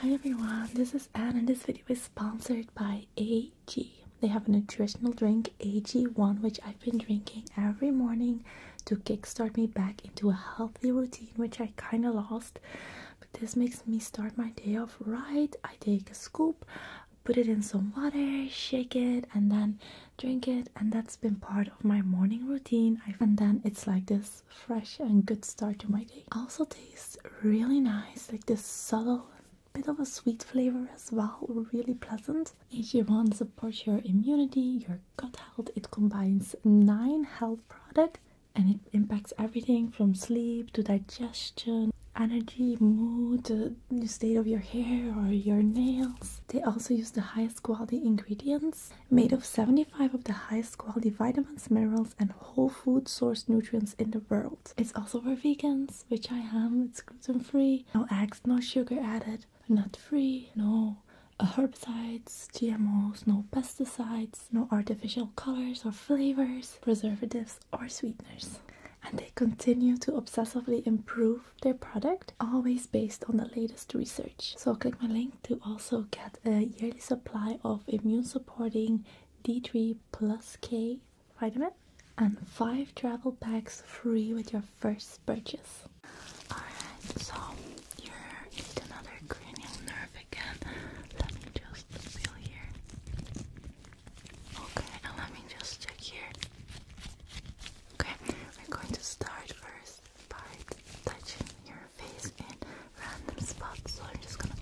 Hi everyone, this is Ann, and this video is sponsored by AG. They have a nutritional drink, AG1, which I've been drinking every morning to kickstart me back into a healthy routine, which I kind of lost. But this makes me start my day off right. I take a scoop, put it in some water, shake it, and then drink it. And that's been part of my morning routine. And then it's like this fresh, and good start to my day. Also tastes really nice, like this subtle bit of a sweet flavor as well, really pleasant. AG1 support your immunity, your gut health. It combines nine health products and it impacts everything from sleep to digestion energy, mood, the state of your hair or your nails. They also use the highest quality ingredients made of 75 of the highest quality vitamins, minerals, and whole food source nutrients in the world. It's also for vegans, which I am. It's gluten free, no eggs, no sugar added, nut free, no uh, herbicides, GMOs, no pesticides, no artificial colors or flavors, preservatives, or sweeteners. And they continue to obsessively improve their product, always based on the latest research. So, click my link to also get a yearly supply of immune supporting D3 plus K vitamin and 5 travel packs free with your first purchase. Alright, so you need another cranial nerve again. Let me just feel here. Okay, and let me just check here. Okay, we're going to start first part touching your face in random spots. So I'm just gonna.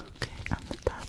Okay, on the top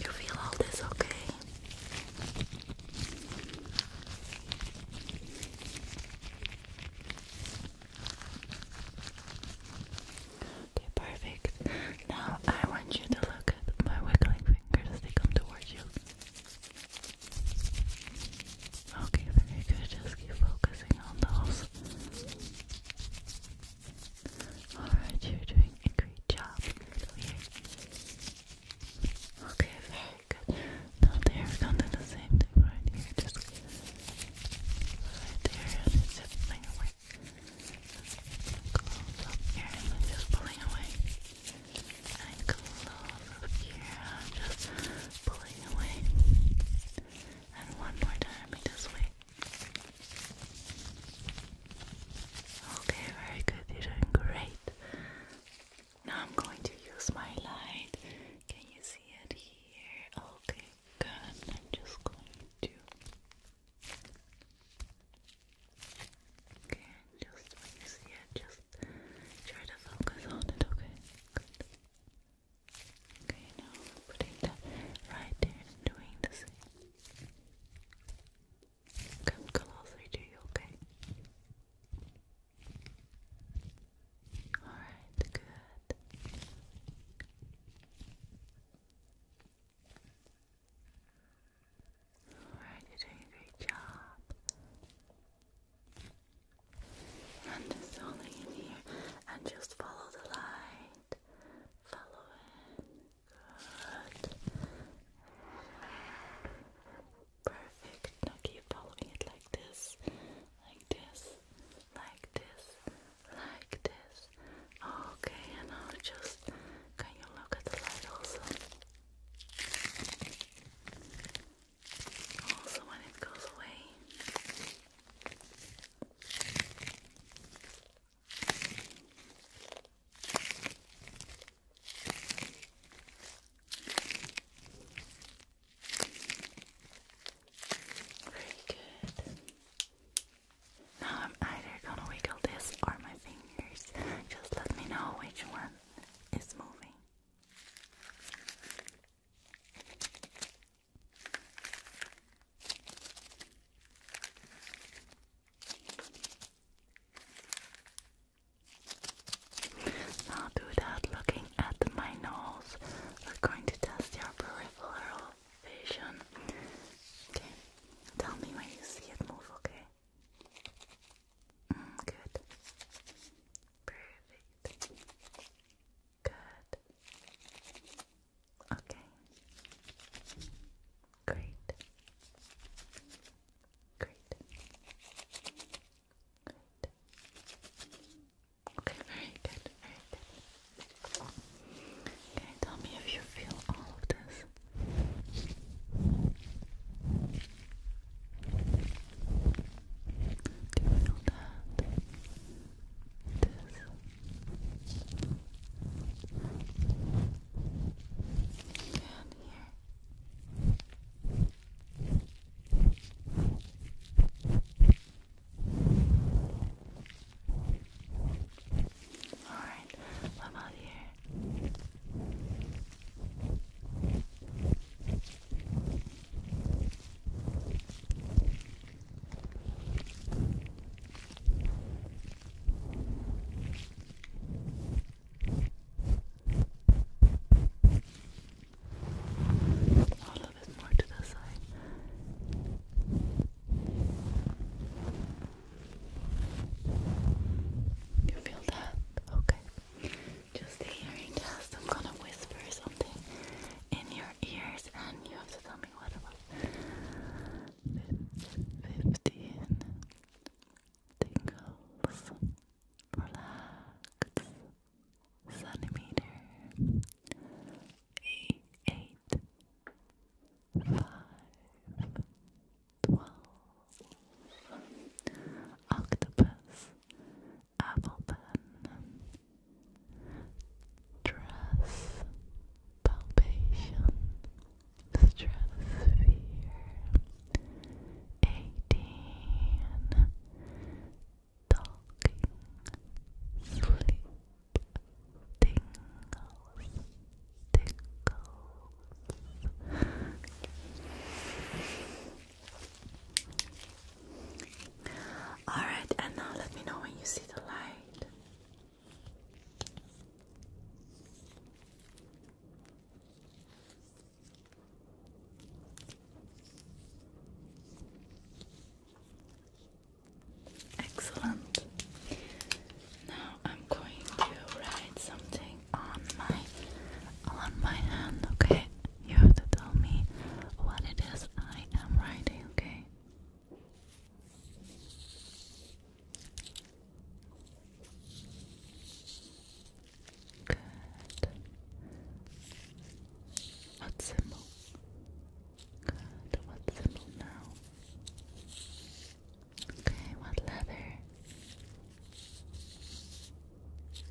You feel all this okay? Okay, perfect. Now I want you to look at my wiggling fingers, they come towards you. Okay, very good. Just keep focusing on those. Alright, you're doing great job here. Okay, very good. Now there, we're going to do the same thing right here. Just right there, just pulling away. Close here, just pulling away. And close here, just pulling away. And one more time, this way. Okay, very good. You're doing great. Now I'm going to use my light. Can you see it here? Okay, good. I'm just going to. Okay, just when you see it, just try to focus on it. Okay, good. Okay, now putting that right there doing the same. Come closely to you, okay? Alright, good. Alright, you're doing a great job. And just holding in here and just follow the light. Follow it. Good. Perfect. Now keep following it like this, like this, like this, like this. Okay, and now just can you look at the light also? Also, when it goes away. Very good. Now I'm either gonna wiggle this or my fingers. Just let me know which one is moving. Now that, looking at my nose, we're going to test your peripheral vision. Okay, tell me when you see it move, okay? Mm, good. Perfect. Good. Okay. Great. Great. Okay, very good, very good. Okay, tell me if you feel all of this. Do you feel that? This down here. Alright, what about here? A little bit more to the side. You feel that? Okay. Just the hearing test. I'm gonna whisper something in your ears, and you have to tell me what it was fifteen tingles, relax, centimeter, eight, eight, five, twelve, octopus, apple dress, palpation. Stratosphere eighteen Talking Sleep Tingles Tingles Alright and let me know when you see the light. Excellent. Now I'm going to write something on my on my hand, okay? You have to tell me what it is I am writing, okay? Good. What symbol? Good. What symbol now? Okay, what letter?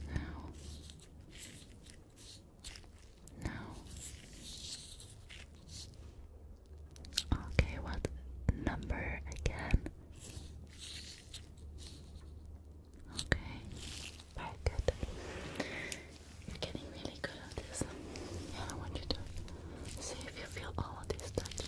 Now. Now. Okay, what number again? Okay, very good. You're getting really good at this. Yeah, I want you to see if you feel all of these touch.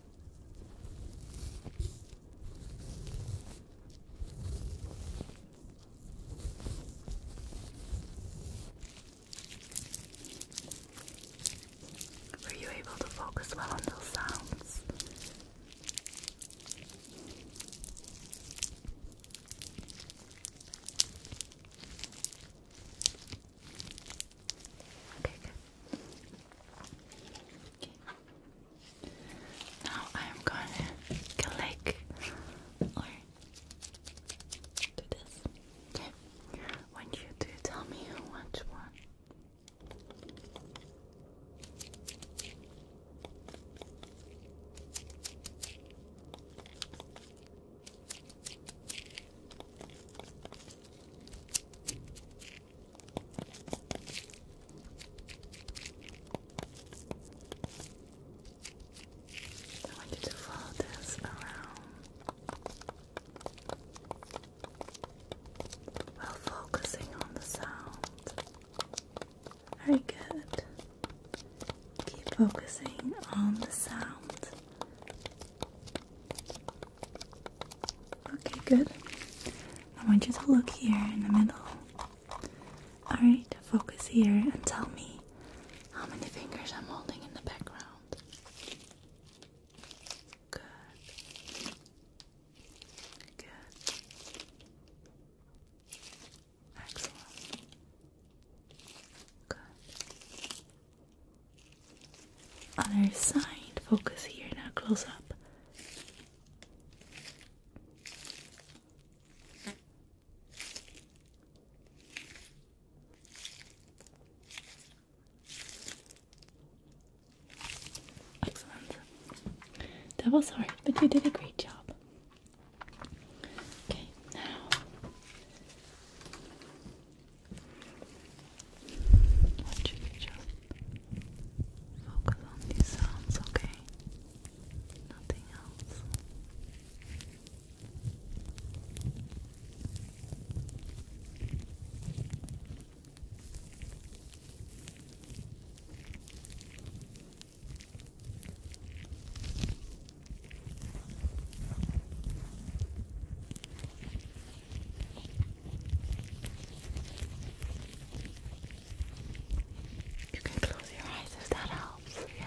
Were you able to focus well on those sounds? Okay, good. Okay. Now I'm gonna click or do this. Okay. When you do, tell me which one. I want you to follow this around while focusing on the sound. Very good. Keep focusing on the sound. Okay, good. I want you to look here in the middle. Alright, focus here and tell me how many fingers I'm holding in the background. Good. Good. Excellent. Good. Other side, focus here now, close up. Excellent. That was but you did a great job. Okay, now want you just focus on these sounds, okay? Nothing else. You can close your eyes if that helps. Yeah.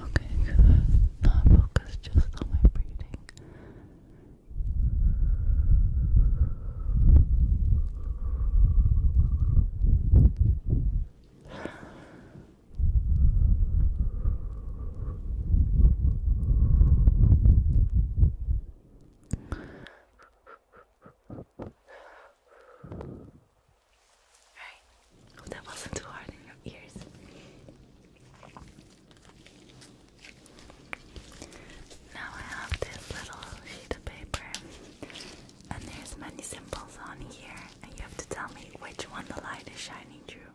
Okay, good. Now focus just on my breathing. Alright, hope that wasn't too hard in your ears. Now I have this little sheet of paper, and there's many symbols on here, and you have to tell me which one the light is shining through.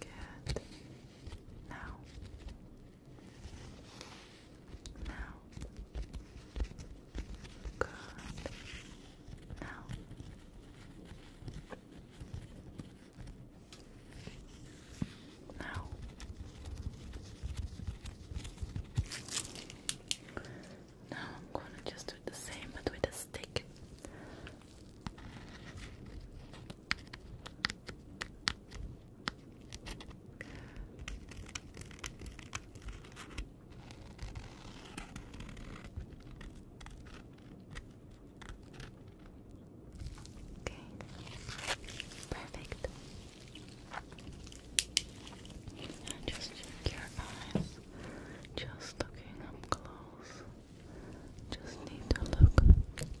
Good. Now. Now. Good. Now. Now. Now I'm going to just do the same but with a stick. Okay. Perfect. just check your eyes. Just looking up close. Just need to look.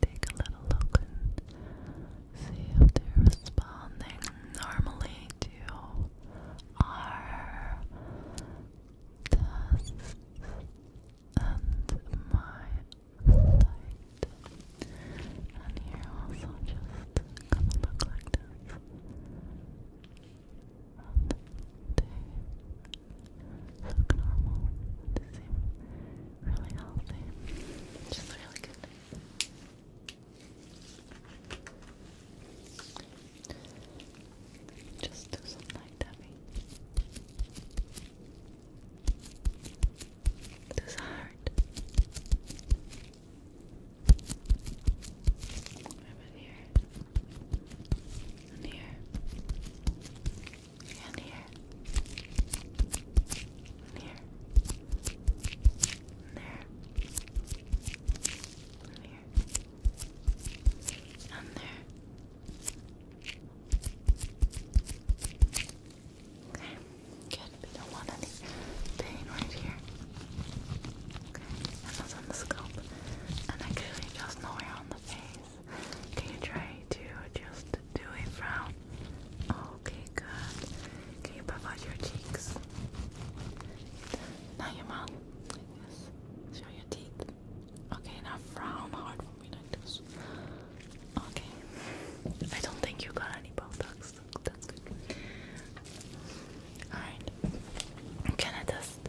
Take a little look and see if they're responding normally to are dust and my light. And here also just gonna look like And they look normal. They seem really healthy. Just really good. Just do some light tapping. Does it hurt? here? here. And here and here, there, there. Okay, good. We don't want any pain right here. Okay, that's on the scalp, and actually just nowhere on the face. Can you try to just do a frown? Okay, good. Can you out your cheeks? Now your mouth, Show your teeth. Okay, now frown hard for me like this. Okay. I don't think you got any Botox. That's good. Alright. I'm gonna test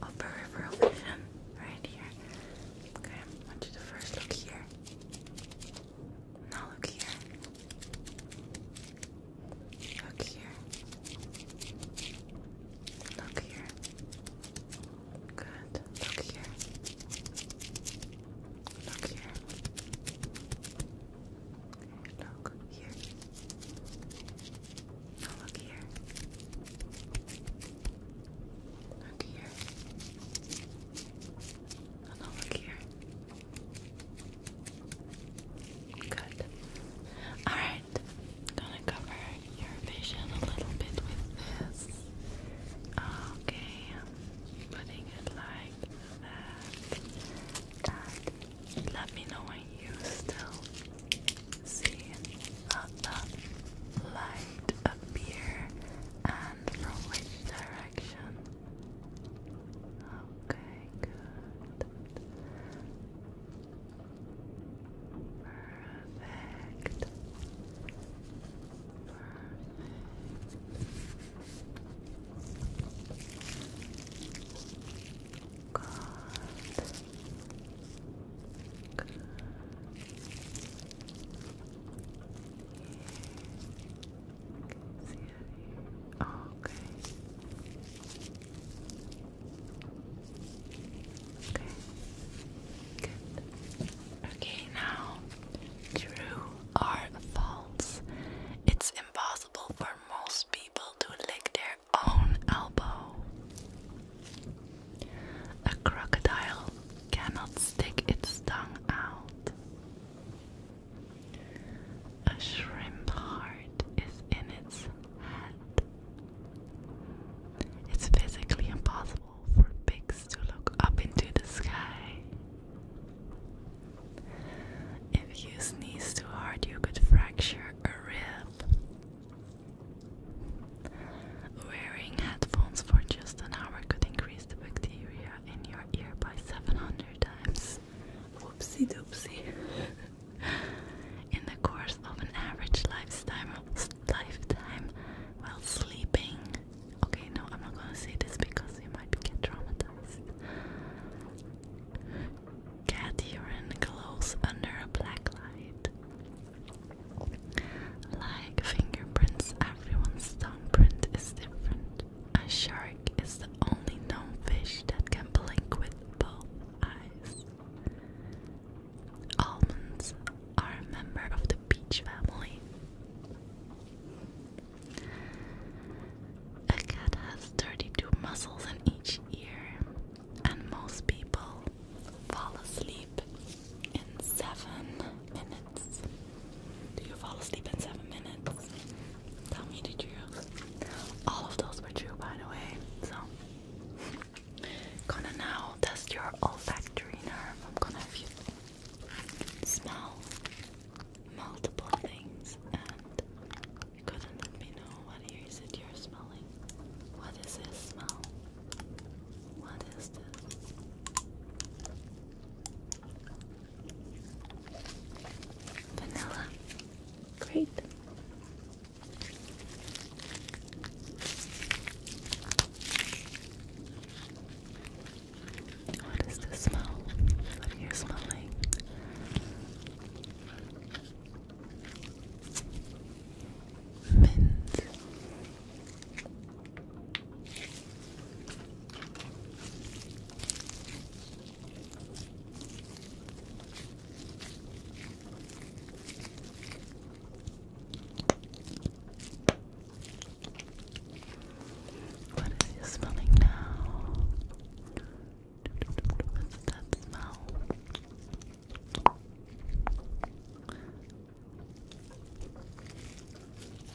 right here. Okay, want you to first look here. Now look here. Look here. Look here. Good. Look here. Look here. Look here. Now look here. Look here. Now look here. Good. Alright, gonna cover your vision a little bit with this. Okay, putting it like that. let me know when you still see uh, light appear and from which direction. Action. Okay, good. Perfect. Perfect. Good. Good okay. Okay. Okay, now true or false. It's impossible for most people to lick their own elbow. A crocodile cannot stick its tongue out. A shrimp heart is in its head. It's physically impossible for pigs to look up into the sky. If you sneeze too hard, you could fracture a rib. Wearing headphones for just an hour could increase the bacteria in your ear by 700 times. Whoopsie doopsie. in the course of an average lifetime, lifetime while sleeping. Okay, no, I'm not gonna say this because you might get traumatized. Cat urine glows under a black light. Like fingerprints, everyone's thumbprint is different. A shark is the only known fish that can blink with both eyes. Almonds are a member of the peach family. A cat has 32 muscles in each ear, and most people fall asleep in 7 minutes. Do you fall asleep in seven minutes? Tell me the truth. All of those were true, by the way. So, gonna now test your olfactory nerve. I'm gonna have you smell multiple things, and you're going let me know what it is you're smelling. What is this smell? What is this? Vanilla. Great. What is the smell? What are you smelling? Mint. What is you smelling now? What's that smell?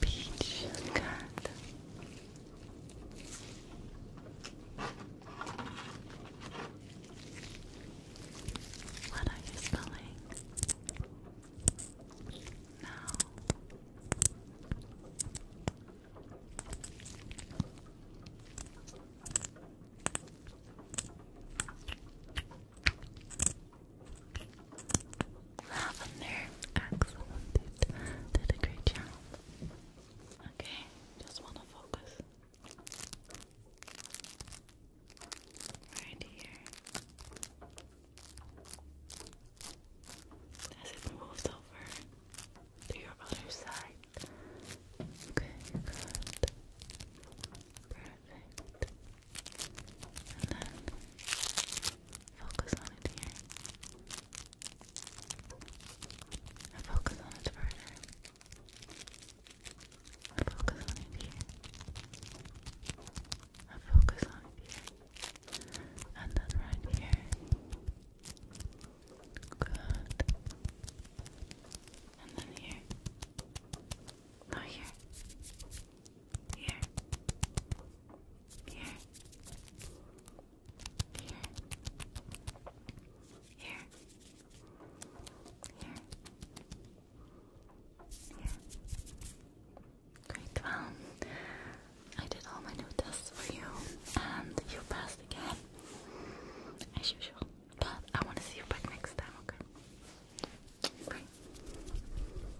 Peach, what are you spelling? No. Lavender, excellent. did a great job. Okay, just want to focus right here. As it moves over to your other side. Okay, good. Perfect. And then focus on it here. I focus on it further. I focus on it here. I focus on it here. And then right here. Good. And then here. Now here. Here. Here. Here. Here. Here. Great. Well, I did all my new tests for you, and you passed again, as usual. But I want to see you back next time, okay? Bye.